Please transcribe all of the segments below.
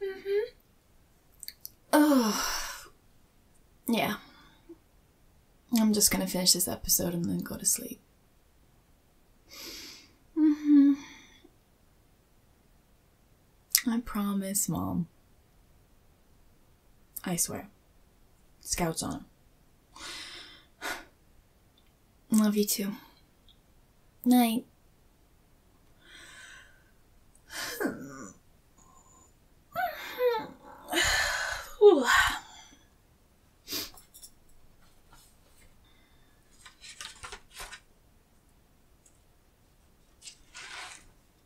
hmm Oh, yeah. I'm just gonna finish this episode and then go to sleep. hmm I promise, Mom. I swear. Scouts on Love you too. Night.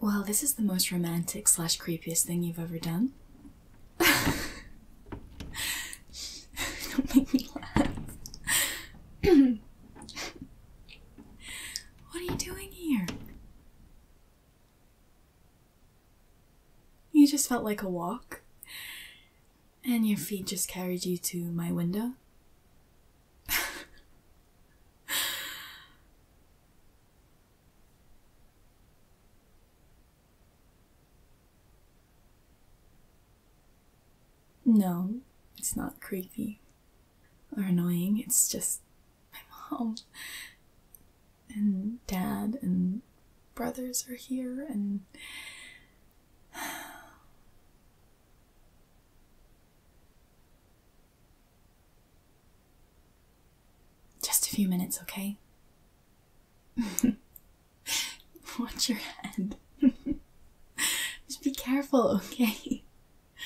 Well, this is the most romantic slash creepiest thing you've ever done. Don't make me laugh. what are you doing here? You just felt like a walk, and your feet just carried you to my window. No, it's not creepy or annoying, it's just my mom and dad and brothers are here and just a few minutes, okay? Watch your head. Just be careful, okay?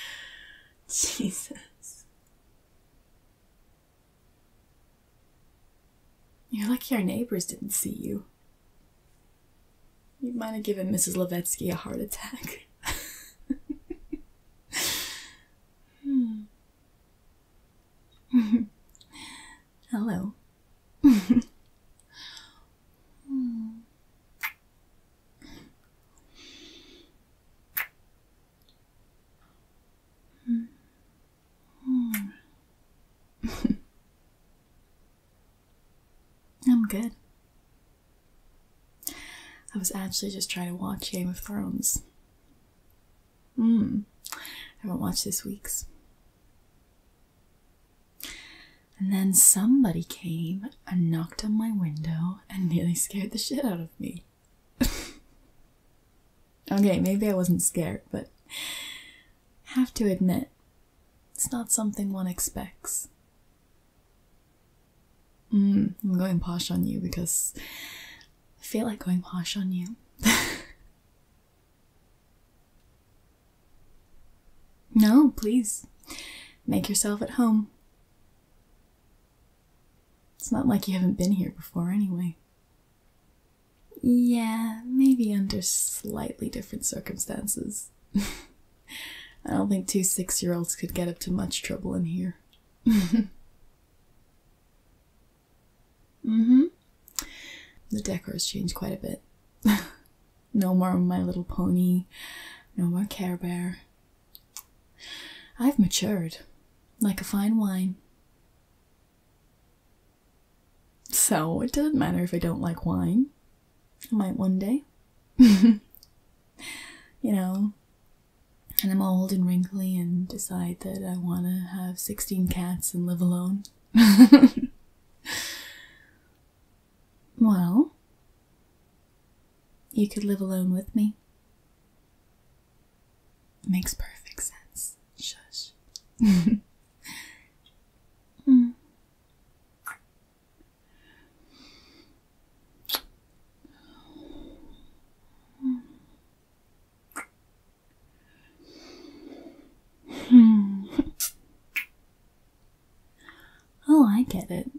Jesus. You're lucky our neighbors didn't see you. You might have given Mrs. Levetsky a heart attack. Hmm. Hello. hmm. Hmm. hmm. I'm good. I was actually just trying to watch Game of Thrones. Hmm. I haven't watched this week's. And then somebody came and knocked on my window and nearly scared the shit out of me. okay, maybe I wasn't scared, but have to admit, it's not something one expects. Mm, I'm going posh on you because I feel like going posh on you. no, please. Make yourself at home. It's not like you haven't been here before, anyway. Yeah, maybe under slightly different circumstances. I don't think two six year olds could get up to much trouble in here. mm-hmm. The decor has changed quite a bit. no more My Little Pony, no more Care Bear. I've matured, like a fine wine. So it doesn't matter if I don't like wine. I might one day. you know, and I'm old and wrinkly and decide that I want to have 16 cats and live alone. well, you could live alone with me. Makes perfect sense. Shush. Hmm. Hmm. Oh, I get it.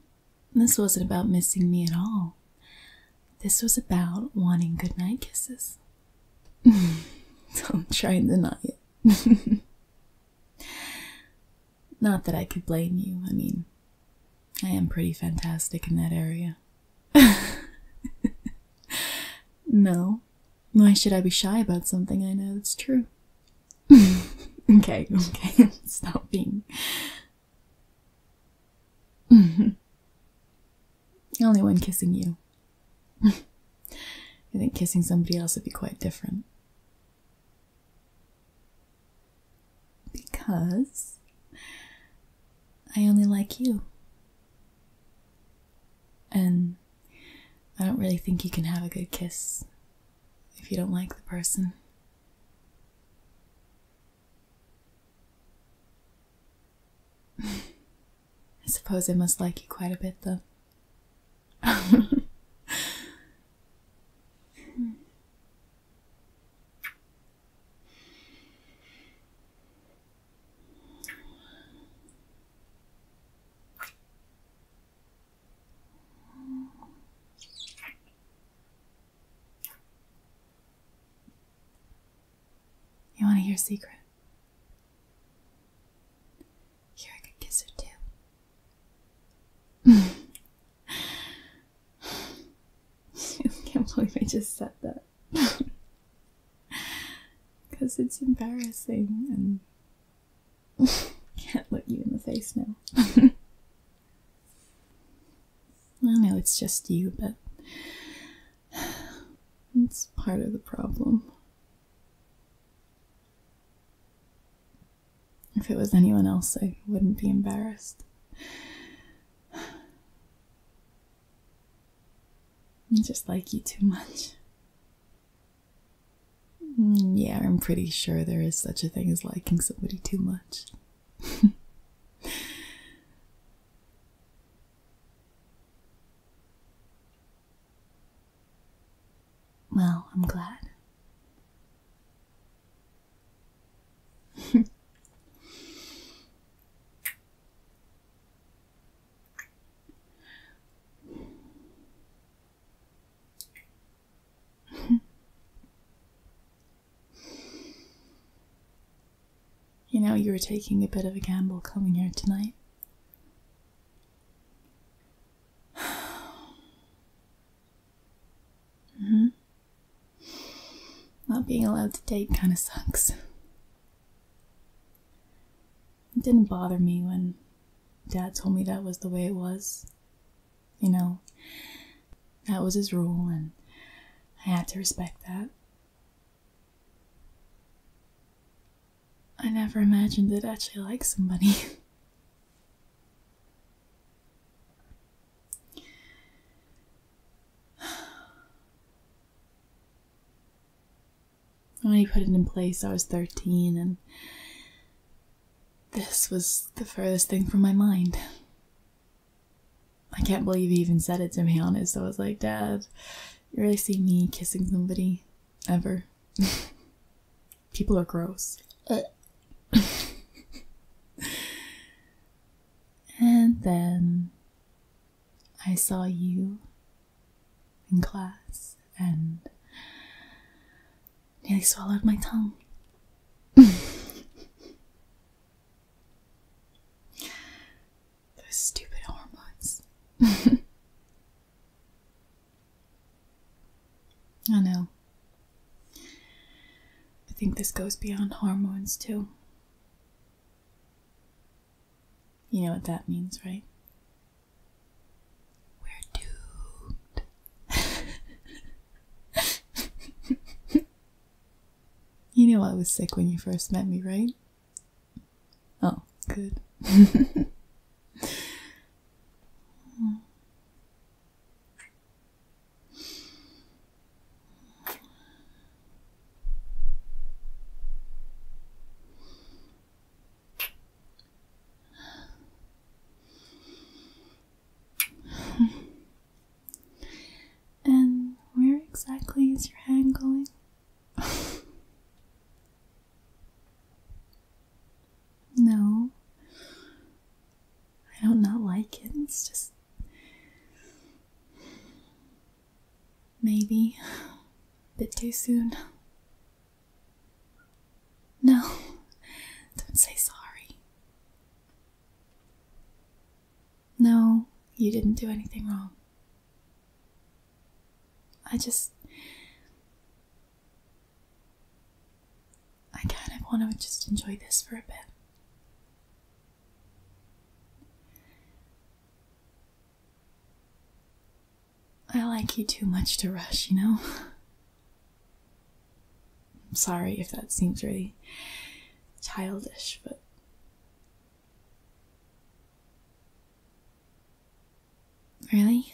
This wasn't about missing me at all. This was about wanting goodnight kisses. Don't try and deny it. Not that I could blame you. I mean, I am pretty fantastic in that area. no. Why should I be shy about something I know that's true? okay, okay, stop being. Only when kissing you. I think kissing somebody else would be quite different. Because I only like you. And I don't really think you can have a good kiss if you don't like the person. I suppose I must like you quite a bit, though. Mm. You want to hear a secret? Here, I could kiss her too. I can't believe I just said that. Because it's embarrassing and can't look you in the face now. I know it's just you, but it's part of the problem. If it was anyone else, I wouldn't be embarrassed. I just like you too much. Mm, yeah, I'm pretty sure there is such a thing as liking somebody too much. well, I'm glad you know, you were taking a bit of a gamble coming here tonight. Mm hmm. Not being allowed to date kind of sucks. It didn't bother me when Dad told me that was the way it was. You know, that was his rule, and I had to respect that. I never imagined I'd actually like somebody. When he put it in place, I was 13, and this was the furthest thing from my mind. I can't believe he even said it to me, honest. I was like, Dad, you really see me kissing somebody? Ever. People are gross. and then I saw you in class and nearly swallowed my tongue. Those stupid hormones. I know. I think this goes beyond hormones, too. You know what that means, right? We're doomed. you know I was sick when you first met me, right? Oh, good. and where exactly is your hand going? No. I don't not like it. It's just. Maybe. A bit too soon. No. Don't say sorry. No, you didn't do anything wrong. I just. I kind of want to just enjoy this for a bit. I like you too much to rush, you know? I'm sorry if that seems really childish, but. Really?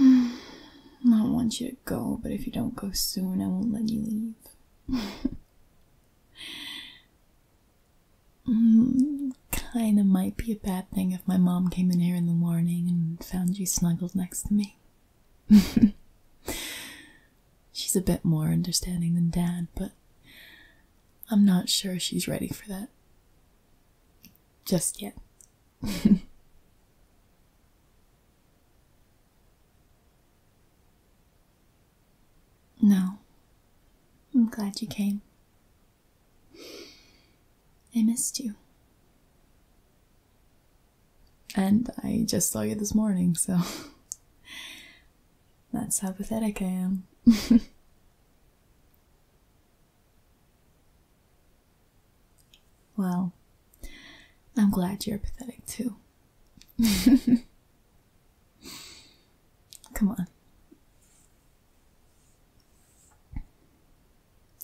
I want you to go, but if you don't go soon, I won't let you leave. Hmm, kinda might be a bad thing if my mom came in here in the morning and found you snuggled next to me. She's a bit more understanding than Dad, but I'm not sure she's ready for that. Just yet. no. I'm glad you came. I missed you. And I just saw you this morning, so That's how pathetic I am. well, I'm glad you're pathetic too. Come on.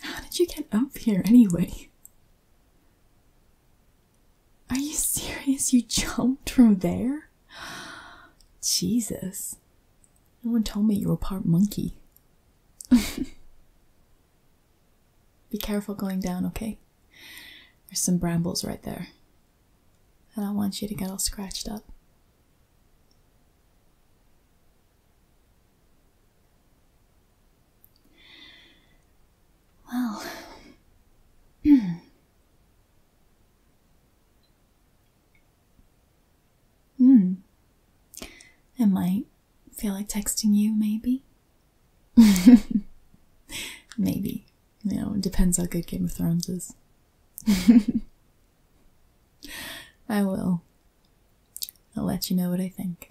How did you get up here anyway? Are you serious? You jumped from there? Jesus. No one told me you were part monkey. Be careful going down, okay? There's some brambles right there. and I want you to get all scratched up. Well, Hmm. I might feel like texting you, maybe. maybe. You know, it depends how good Game of Thrones is. I will. I'll let you know what I think.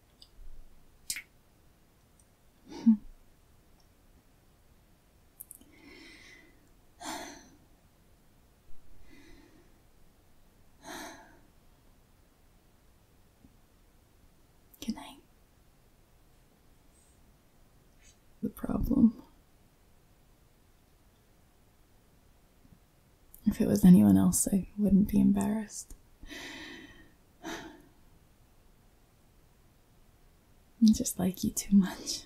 Good night. The problem if it was anyone else, I wouldn't be embarrassed. I just like you too much.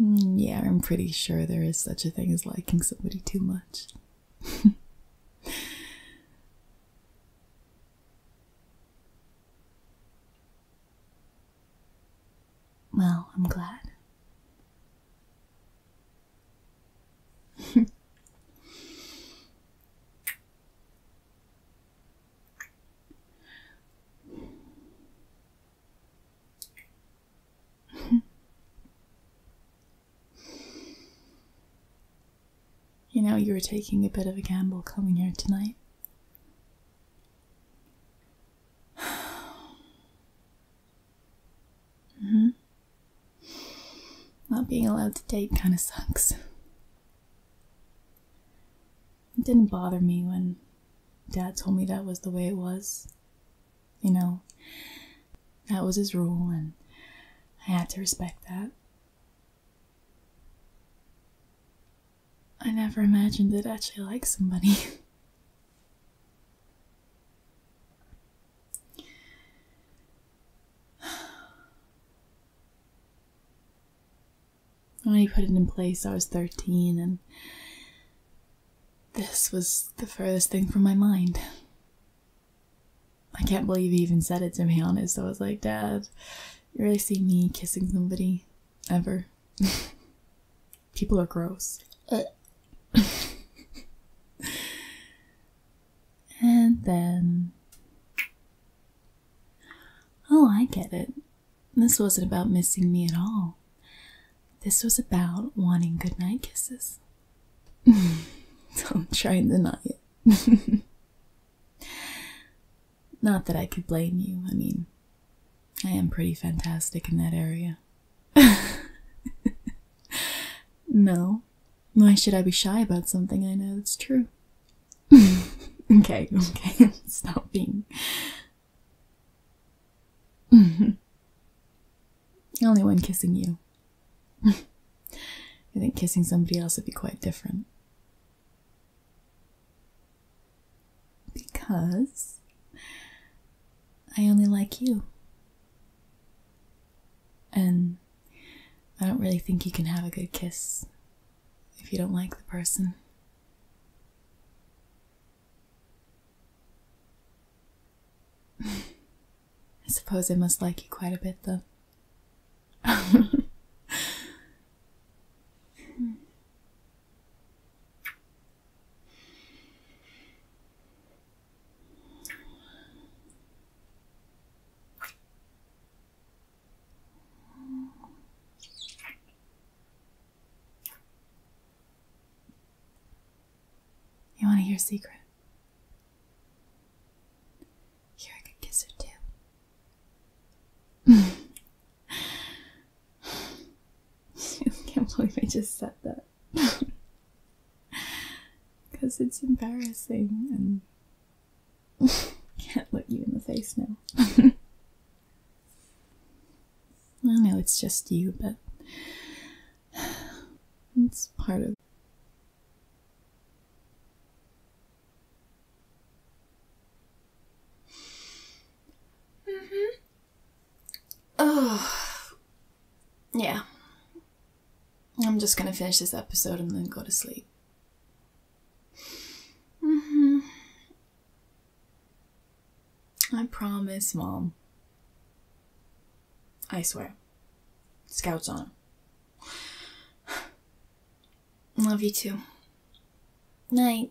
Mm, yeah, I'm pretty sure there is such a thing as liking somebody too much. well, I'm glad. you know, you were taking a bit of a gamble coming here tonight. mm -hmm. Not being allowed to date kind of sucks. It didn't bother me when Dad told me that was the way it was. You know, that was his rule, and I had to respect that. I never imagined I'd actually like somebody. when he put it in place, I was 13, and this was the furthest thing from my mind. I can't believe he even said it, to me, honest. I was like, Dad, you really see me kissing somebody? Ever. People are gross. and then. Oh, I get it. This wasn't about missing me at all. This was about wanting goodnight kisses. Don't try and deny it. Not that I could blame you. I mean, I am pretty fantastic in that area. no. Why should I be shy about something I know that's true? okay, okay, stop being. Only when kissing you. I think kissing somebody else would be quite different. Because I only like you. And I don't really think you can have a good kiss if you don't like the person. I suppose I must like you quite a bit, though. You want to hear a secret? Here, I could kiss her too. I can't believe I just said that. Because it's embarrassing and can't look you in the face now. I know it's just you, but it's part of. -hmm. Oh, yeah. I'm just gonna finish this episode and then go to sleep. -hmm. I promise, Mom. I swear. Scouts on. Love you too. Night.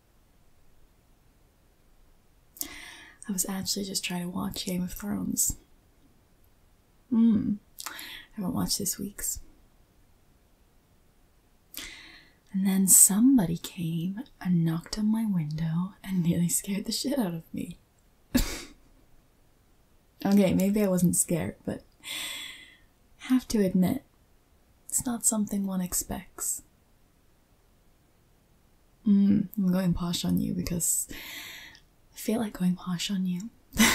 I was actually just trying to watch Game of Thrones. Hmm, haven't watched this week's. And then somebody came and knocked on my window and nearly scared the shit out of me. okay, maybe I wasn't scared, but have to admit it's not something one expects. Mm, I'm going posh on you because I feel like going posh on you.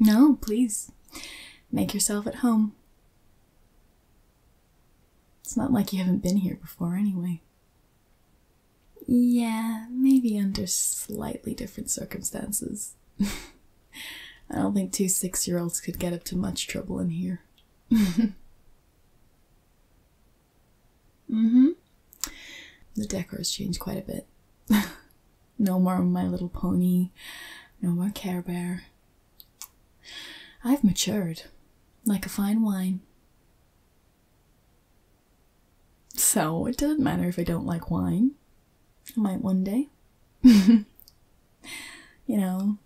no, please. Make yourself at home. It's not like you haven't been here before, anyway. Yeah, maybe under slightly different circumstances. I don't think two six year olds could get up to much trouble in here. mm hmm. The decor's changed quite a bit. no more My Little Pony, no more Care Bear. I've matured like a fine wine. So it doesn't matter if I don't like wine. I might one day. you know,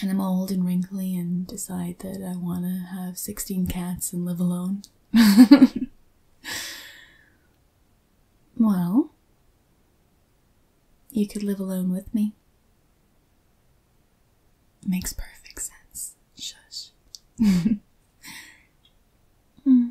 and I'm old and wrinkly and decide that I want to have 16 cats and live alone. well, you could live alone with me. Makes perfect sense. Shush. Hmm.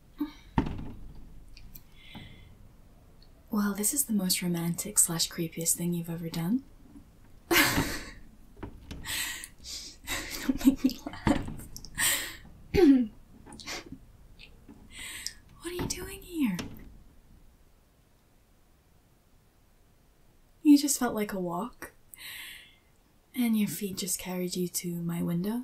Well, this is the most romantic slash creepiest thing you've ever done. Don't make me laugh. what are you doing here? You just felt like a walk, and your feet just carried you to my window.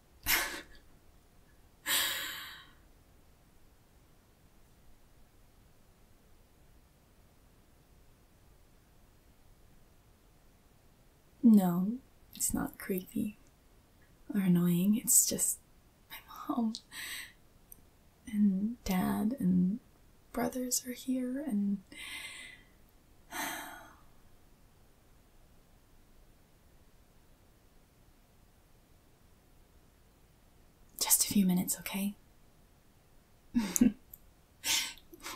no, it's not creepy or annoying, it's just my mom and dad and brothers are here and. Just a few minutes, okay?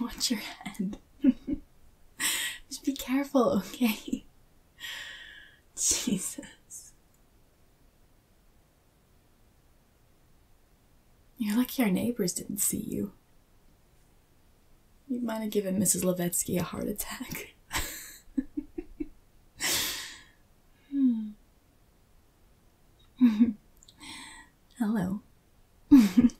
Watch your head. Just be careful, okay? Jesus. You're lucky our neighbors didn't see you. You might have given Mrs. Levetsky a heart attack. Hmm. Hello.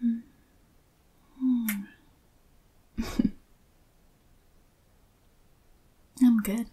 Hmm. Hmm. I'm good.